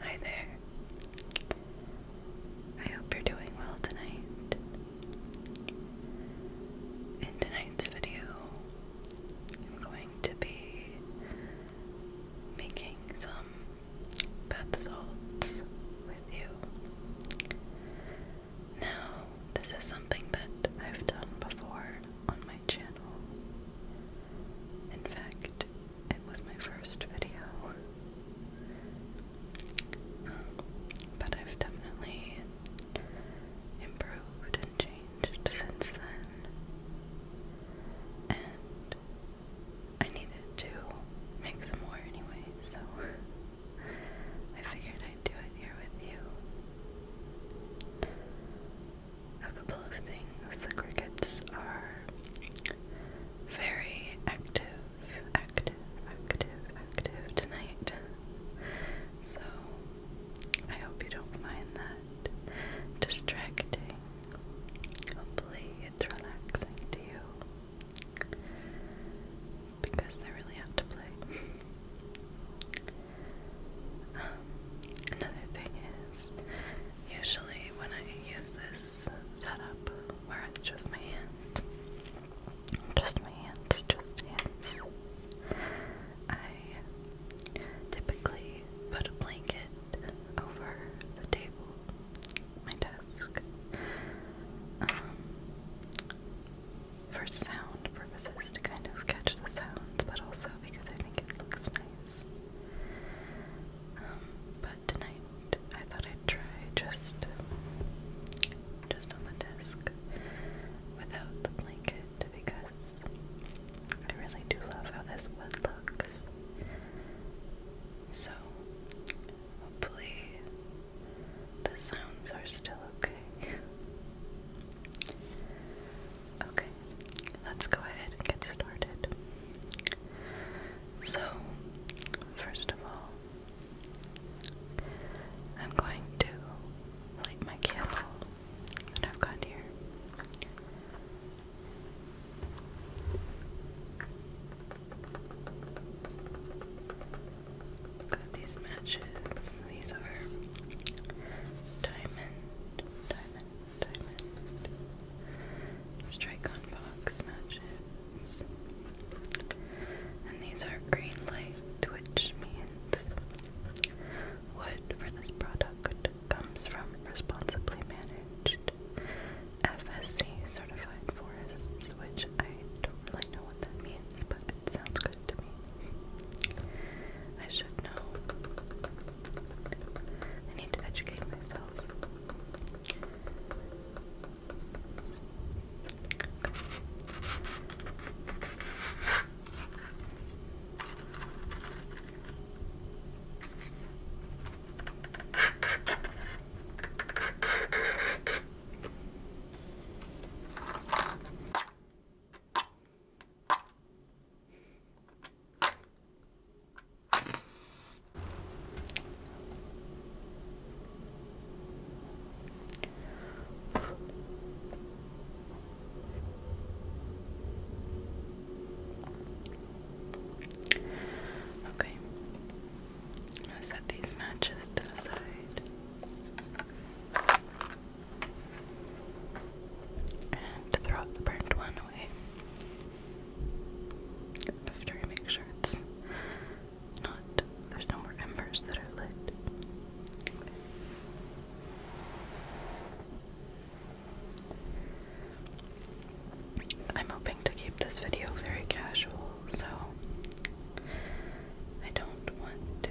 Hi there. I hope you're doing well tonight. In tonight's video, I'm going to be making some bath salts with you. Now, this is something that I've done before on my channel. In fact, it was my first video. but I've definitely improved and changed since then. And I needed to make some more anyway, so I figured I'd do it here with you a couple of things. The crickets are very active, active, active, active tonight. So I hope you don't mind that distracting. Hopefully it's relaxing to you. Because they really have to play. Um, another thing is Usually, when I use this setup where it's just my hands, just my hands, just hands, I typically put a blanket over the table, my desk, um, for sound purposes to kind of catch the sounds, but also because I think it looks nice. Um, but tonight I thought I'd try just just on the desk without the blanket because I really do love how this wood looks. So hopefully the sounds are still okay. Okay, let's go ahead and get started. So, first of all, I'm going to light my candle that I've got here. Got these matches. These are diamond, diamond, diamond, strike on box matches. And these are green light, which means wood for this product comes from responsibly managed FSC certified forests, which I don't really know what that means, but it sounds good to me. I should know. I need to educate myself. Okay, I'm going to set these matches to the side. And throw the burnt one away. After I make sure it's not, there's no more embers that are lit. I'm hoping to keep this video very casual, so I don't want to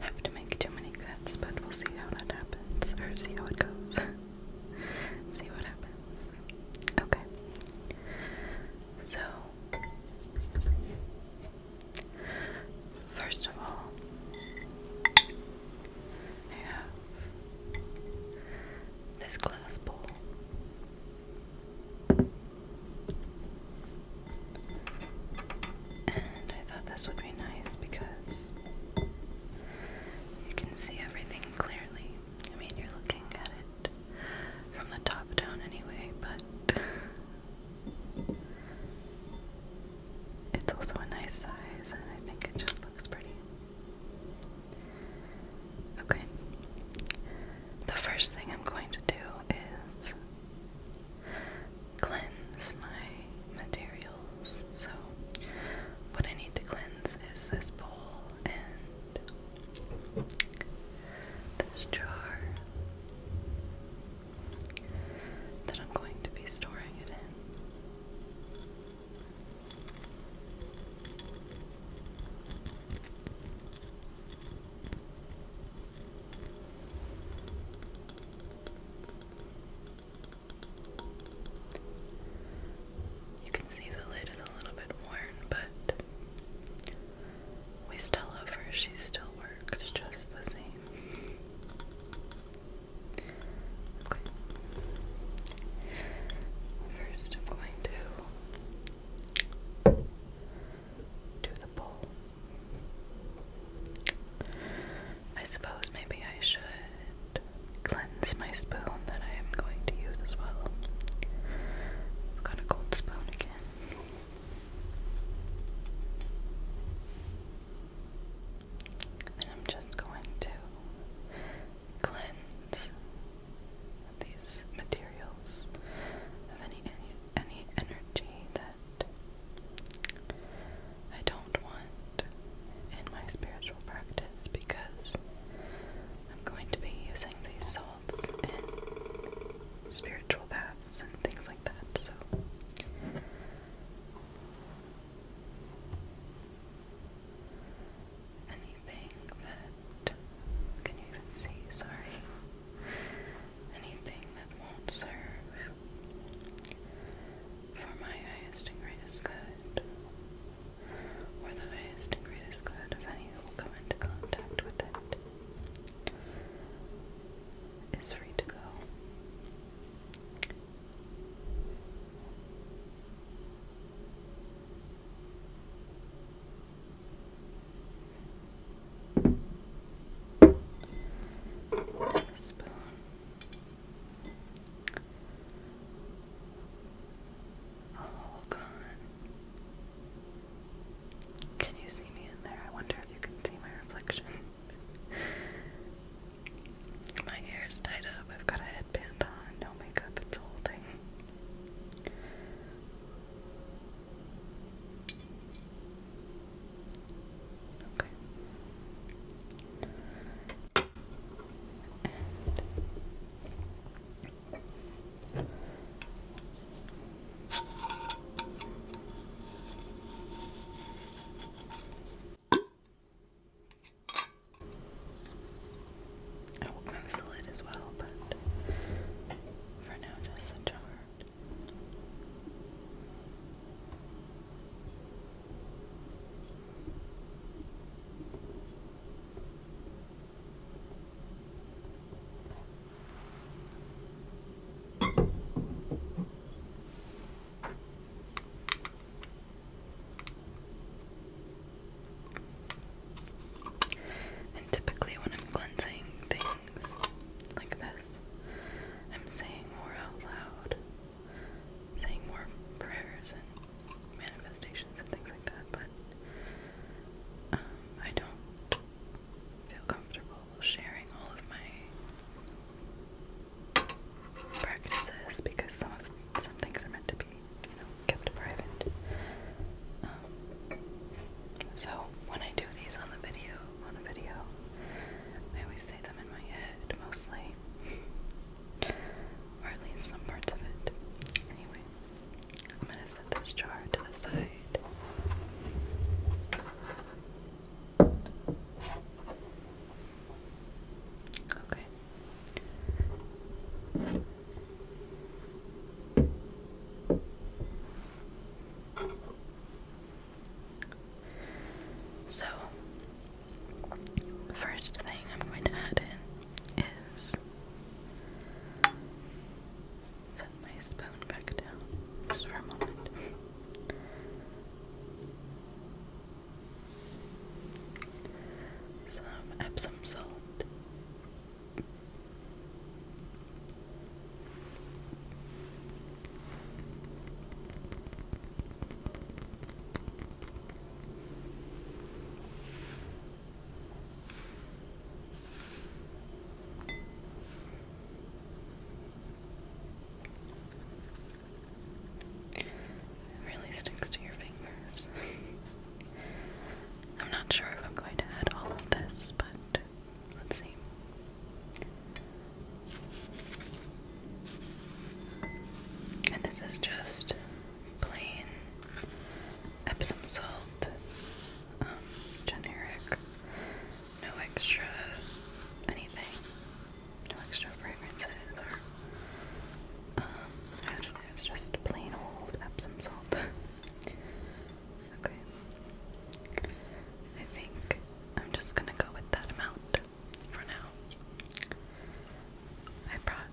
have to make too many cuts, but we'll see how that happens, or see how it goes. See what happens. Okay. So, first of all, I this glass bowl. And I thought this would be nice because you can see everything clearly. I mean, you're looking at it from the top down anyway, but it's also a nice size, and I think it just looks pretty. Okay. The first thing I'm going to do is cleanse my materials. So, what I need to cleanse lens is this bowl and this jar that I'm going to be storing it in. You can see the lid is a little bit worn, but we still love her. She still works just the same. Okay. First, I'm going to do the bowl. I suppose maybe I should cleanse my spoon that I am going to use as well. got a cold spoon again. And I'm just going to cleanse these materials of any, any energy that I don't want in my spiritual practice because I'm going to be using these salts in spiritual baths and things like that, so. Anything that. Can even see? Sorry. Anything that won't serve for my highest and greatest good or the highest and greatest good of any who will come into contact with it, is free to go. Spoon. Oh, God. Can you see me in there? I wonder if you can see my reflection. my hair tied up. I've got a headband on. No makeup. It's a whole thing. Okay. I will move the lid as well, but for now, just the jar. And typically, when I'm cleansing things like this, I'm saying more out loud, saying more prayers and manifestations and things like that, but um, I don't feel comfortable sharing all of my practices because some of, some things are meant to be, you know, kept private. Um, so when I do these on the video, on a video, I always say them in my head mostly. Or at least some parts of it. Anyway, I'm gonna set this jar to the side. Okay. So, First thing I'm going to add in is set my spoon back down just for a moment. Some Epsom salt. It really sticks to your fingers. I'm not sure if I'm going to add all of this, but let's see. And this is just plain Epsom salt, um, generic, no extra anything, no extra fragrances or um, additives, just plain old Epsom salt. okay. I think I'm just gonna go with that amount for now. I brought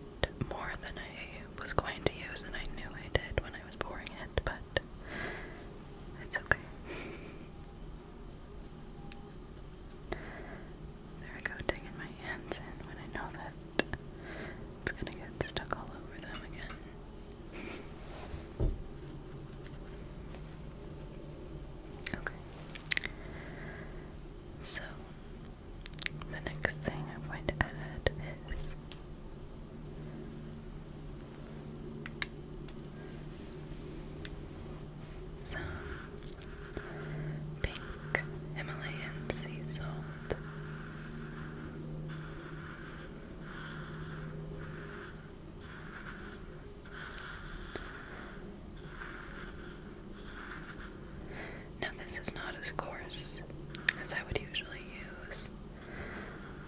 more than I was going to use, and I knew I did when I was pouring it, but it's okay. There I go, digging my hands in when I know that it's gonna get stuck all over them again. Okay. So, the next thing I'm going to add is some pink Himalayan sea salt. Now, this is not as coarse as I would usually use.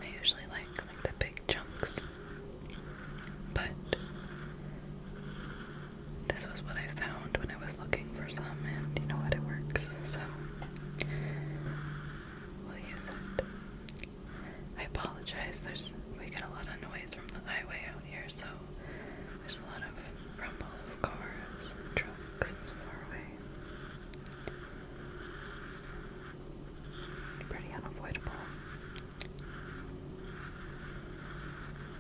I usually like, the big chunks, but this was what I found when I was looking for some, and you know what, it works, so we'll use it. I apologize, there's we get a lot of noise from the highway here, so there's a lot of rumble of cars and trucks far away. Pretty unavoidable.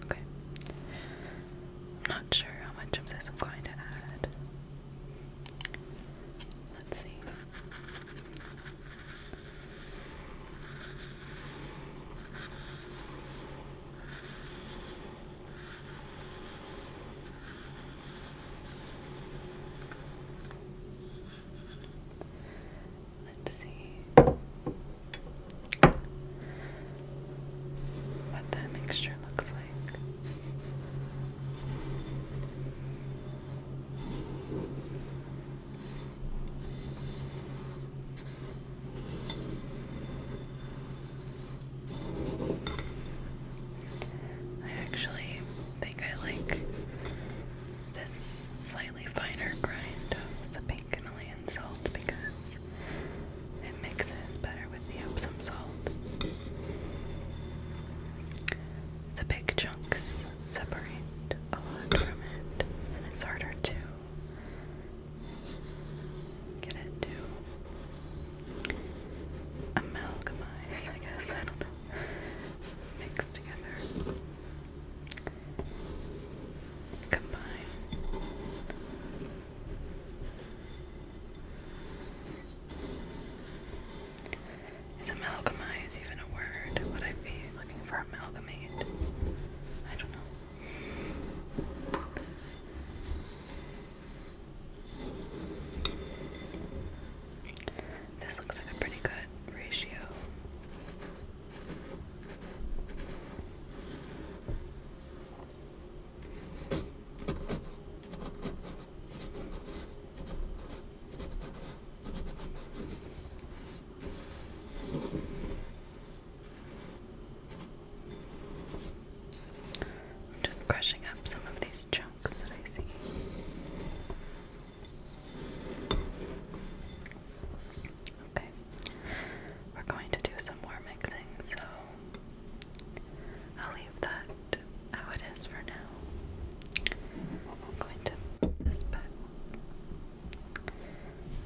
Okay. not sure how much of this I'm going to add. Let's see. Let's see what that mixture looks like. I actually think I like this slightly finer grind of the pink Himalayan salt because it mixes better with the Epsom salt. The big chunks separate a lot from it, and it's harder to get it to amalgamize, I guess, I don't know, mix together, combine. Is amalgamize even a word? Would I be looking for amalgamate? I don't know. This looks like a pretty good ratio. I'm just brushing up some of these chunks that I see. Okay, we're going to do some more mixing, so I'll leave that how it is for now. I'm going to this back.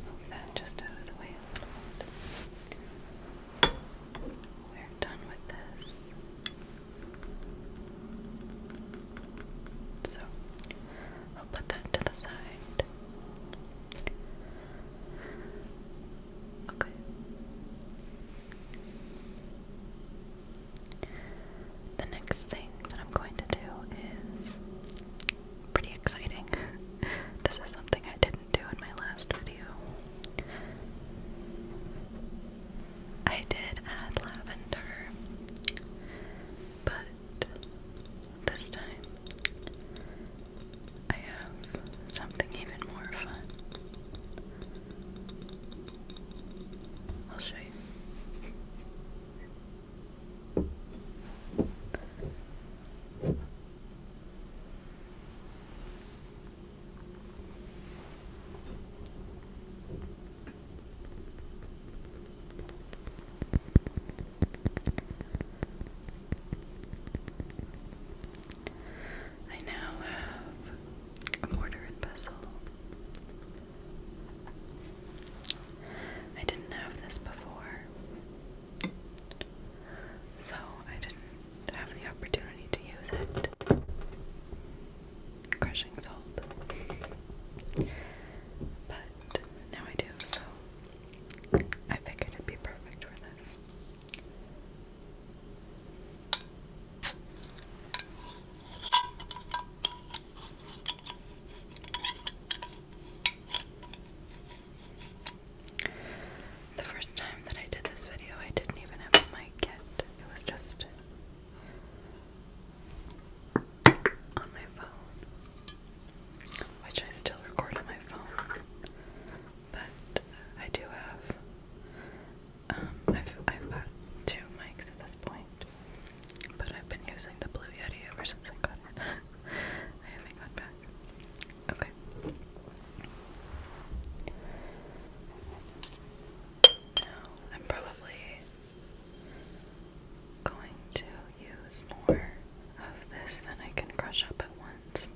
Move that just out of the way We're done with this. So I'll put that to the side. Okay. The next thing that I'm going to do is pretty exciting. this is something I didn't do in my last video. I did add lavender, but this time I have something even more fun. I'll show you. I now have a mortar and pestle. I didn't have this before. So I didn't have the opportunity to use it. Crushing salt. But now I do, so I figured it'd be perfect for this. The first time that I did this video, I didn't even have a mic yet. It was just on my phone, which I still record on my phone. But I do have, um, I've, I've got two mics at this point, but I've been using the Blue Yeti ever since I got I haven't gone back. Okay. Now I'm probably going to use more of this than I can crush up at once.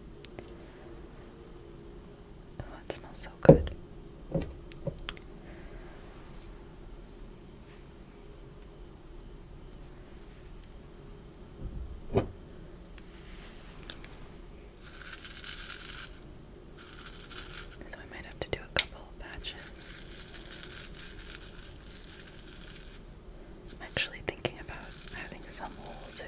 Oh, it smells so good. So I might have to do a couple of I'm actually thinking about having some wool too.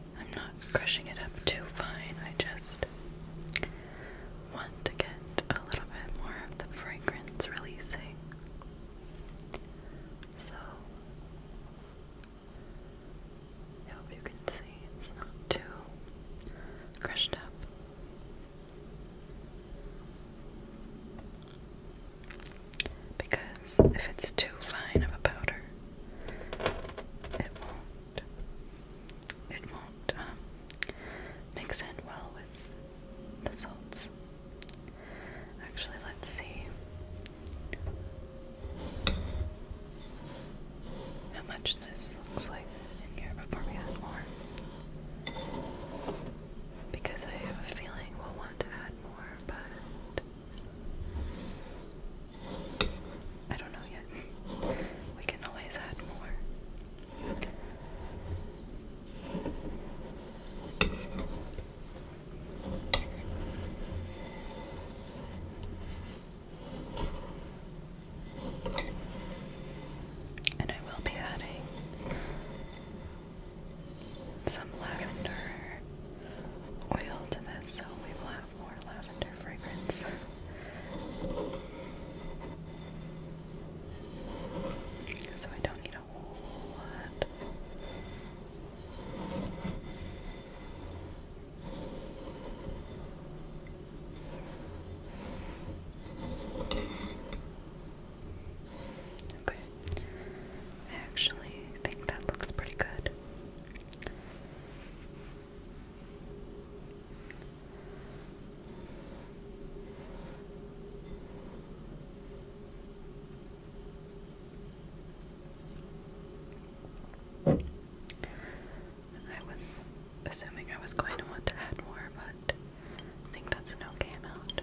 I'm not crushing it up too fine. I just want to get a little bit more of the fragrance releasing. So, I hope you can see it's not too crushed up. Because if it's too fine of a powder, it won't it won't um, mix in well with the salts. Actually, let's see how much this looks like in here before we add more. Because I have a feeling we'll want to add more, but I don't know yet. We can always add more. And I will be adding some lavender oil to this, so we have more lavender fragrance. so I don't need a whole lot. Okay. I actually think that looks pretty good. I was assuming I was going to want to add more, but I think that's an okay amount.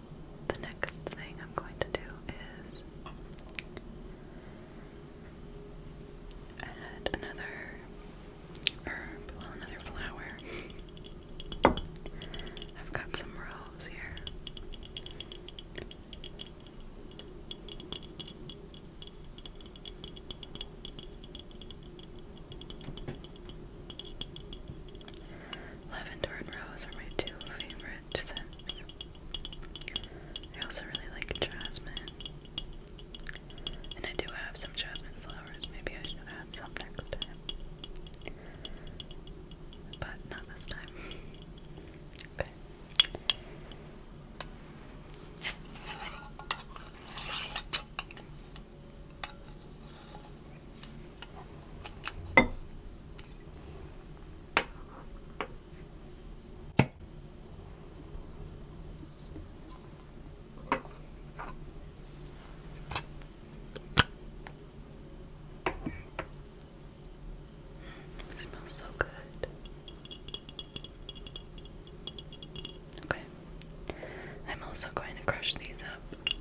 the next thing I'm going to do is add another herb, well, another flower. I've got some rose here. Lavender and rose are my two favorite scents. I also really like jasmine. And I do have some jasmine flowers. Maybe I should add some next time. But not this time. Okay smells so good. Okay. I'm also going to crush these up.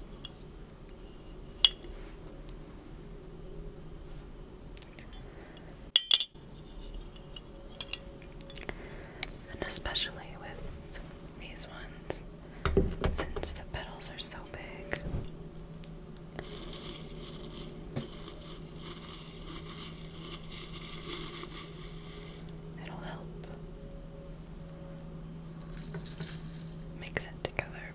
And especially with these ones, since the petals are so big. It'll help Mix it together.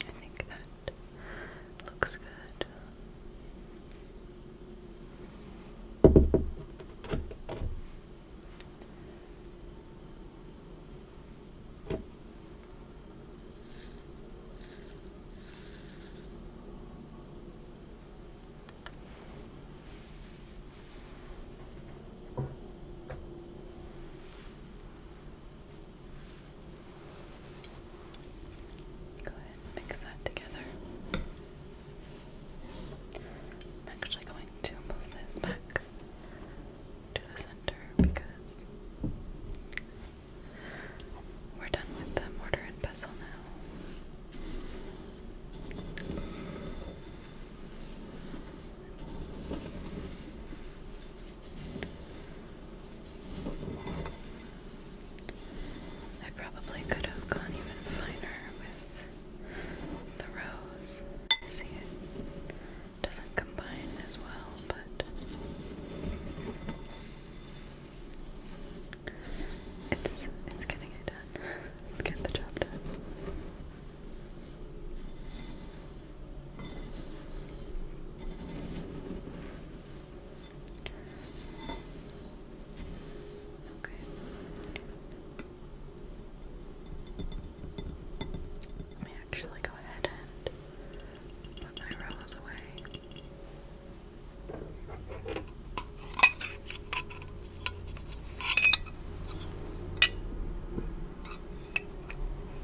I think that looks good. Go ahead mix that together. I'm actually going to move this back to the center because we're done with the mortar and pestle now. I probably could have gone even finer with the rose. See, it doesn't combine as well, but it's it's getting it done. get the job done. Okay. Let me actually go ahead and put my rose away.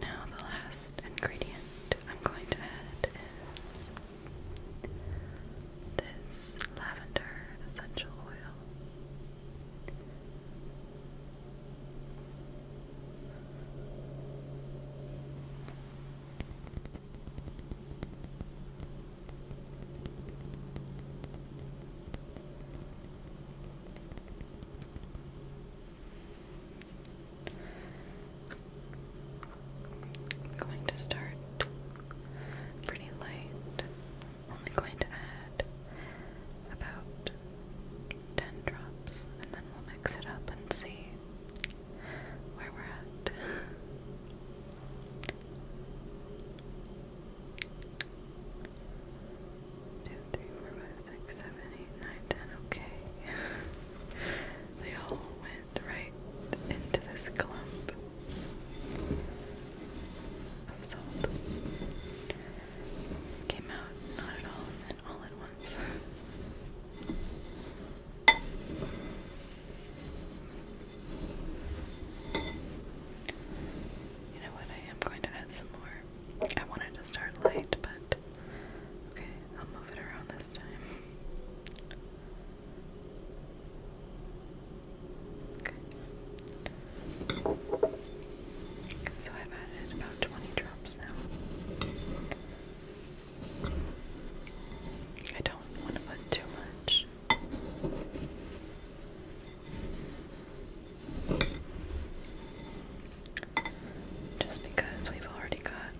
Now, the last ingredient I'm going to add is this lavender essential oil going to start pretty light. only going to add about 10 drops and then we'll mix it up and see where we're at. Two, three, four, five, six, seven, eight, nine, ten. Okay. they all went right into this clump of salt. Came out not at all and then all at once. You know what? I am going to add some more I wanted to start light, but okay, I'll move it around this time. Okay. So I've added about 20 drops now. I don't want to put too much. Just because we've already got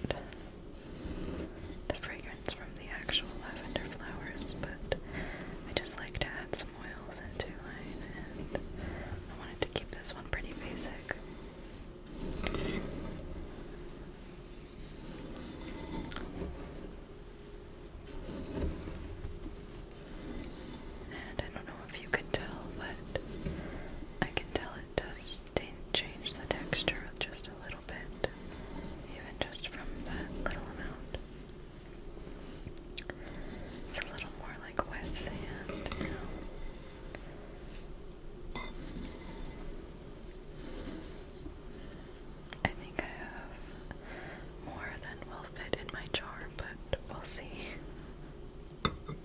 the fragrance from the actual lavender flowers, but I just like to add some oils into mine, and I wanted to keep this one pretty basic. And I don't know if you can tell, but I can tell it does change the texture just a little bit, even just from that little amount. It's a little more like wet sand I think I have more than will fit in my jar, but we'll see.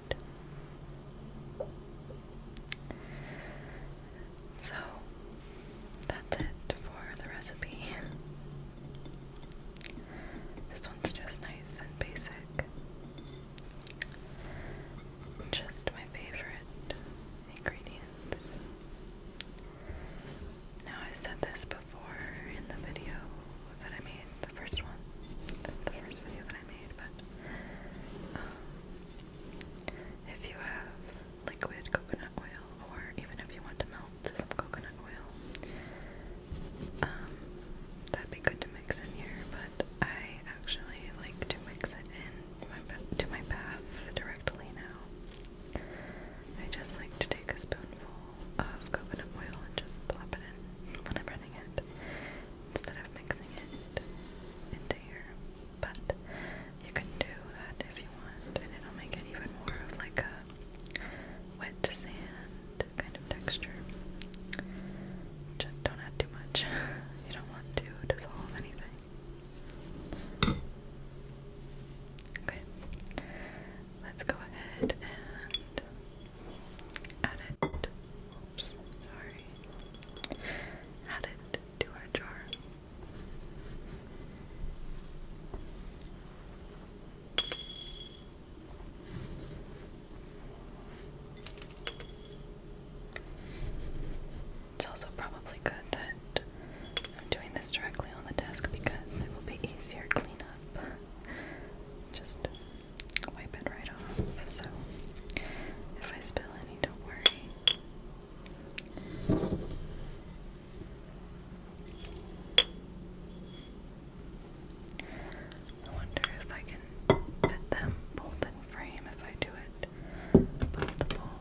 So that's it for the recipe. This one's just nice and basic. Just my favorite ingredients. Now, I said this before in the video that I made, the first one, the first video that I but um, if you have liquid coconut oil, or even if you want to melt some coconut oil, um, that'd be good to mix in here. But I actually like to mix it in my bath directly now. I just like to take a spoonful of coconut oil and just plop it in when I'm running it instead of mixing it into here. But you can do that if you want, and it'll make it even more of like a wet sand kind of texture. Just don't add too much. You don't want to dissolve anything. Okay, let's go ahead and Add it. Oops, sorry. Add it to our jar. It's also probably good that I'm doing this directly on the desk because it will be easier to cleanup. Just wipe it right off. So if I spill any, don't worry. I wonder if I can fit them both in frame if I do it above the bowl.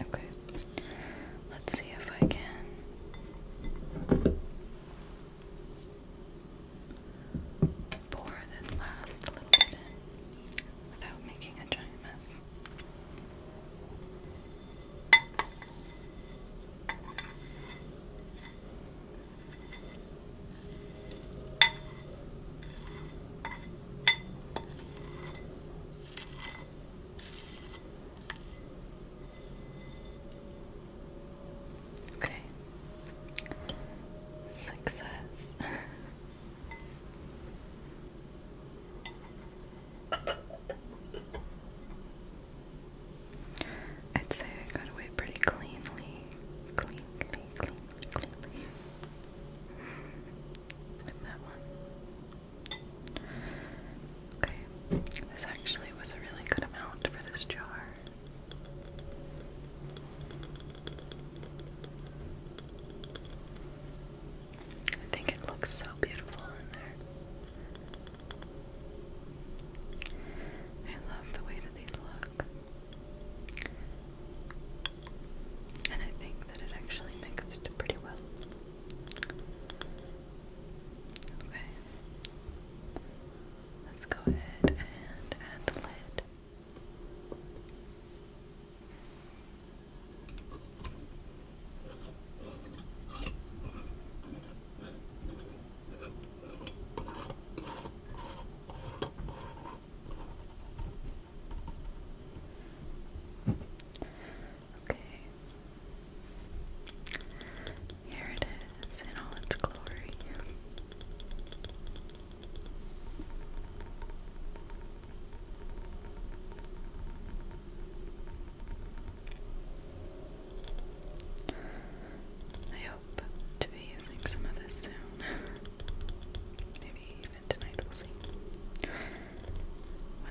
Okay. Let's see if I can pour this last little bit in without making a giant mess. Okay. Success. I'd say I got away pretty cleanly. Cleanly, cleanly, cleanly that one. Okay, this actually was a really good amount for this jar. I think it looks so beautiful in there. I love the way that these look. And I think that it actually mixed pretty well. Okay. Let's go ahead and add the lid. Okay. Here it is in all its glory. I hope to be using some of this soon. Maybe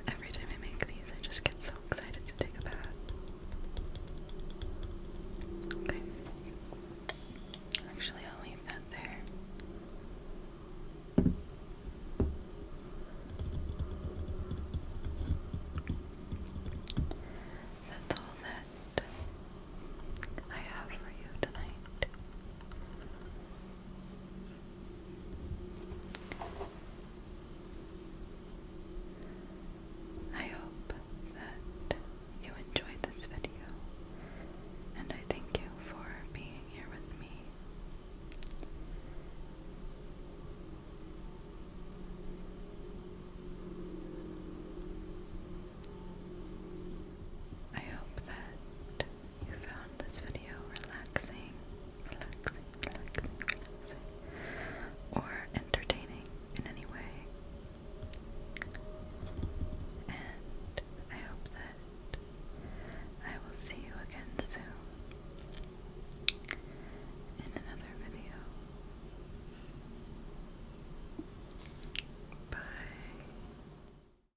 every time I make these, I just get so excited to take a bath. Actually, I'll leave that there. That's all that I have for you tonight. I hope that you enjoyed this video, and I thank you for being here with me. I hope that you found this video relaxing, relaxing, relaxing, or entertaining in any way. And I hope that I will see you again soon in another video. Bye.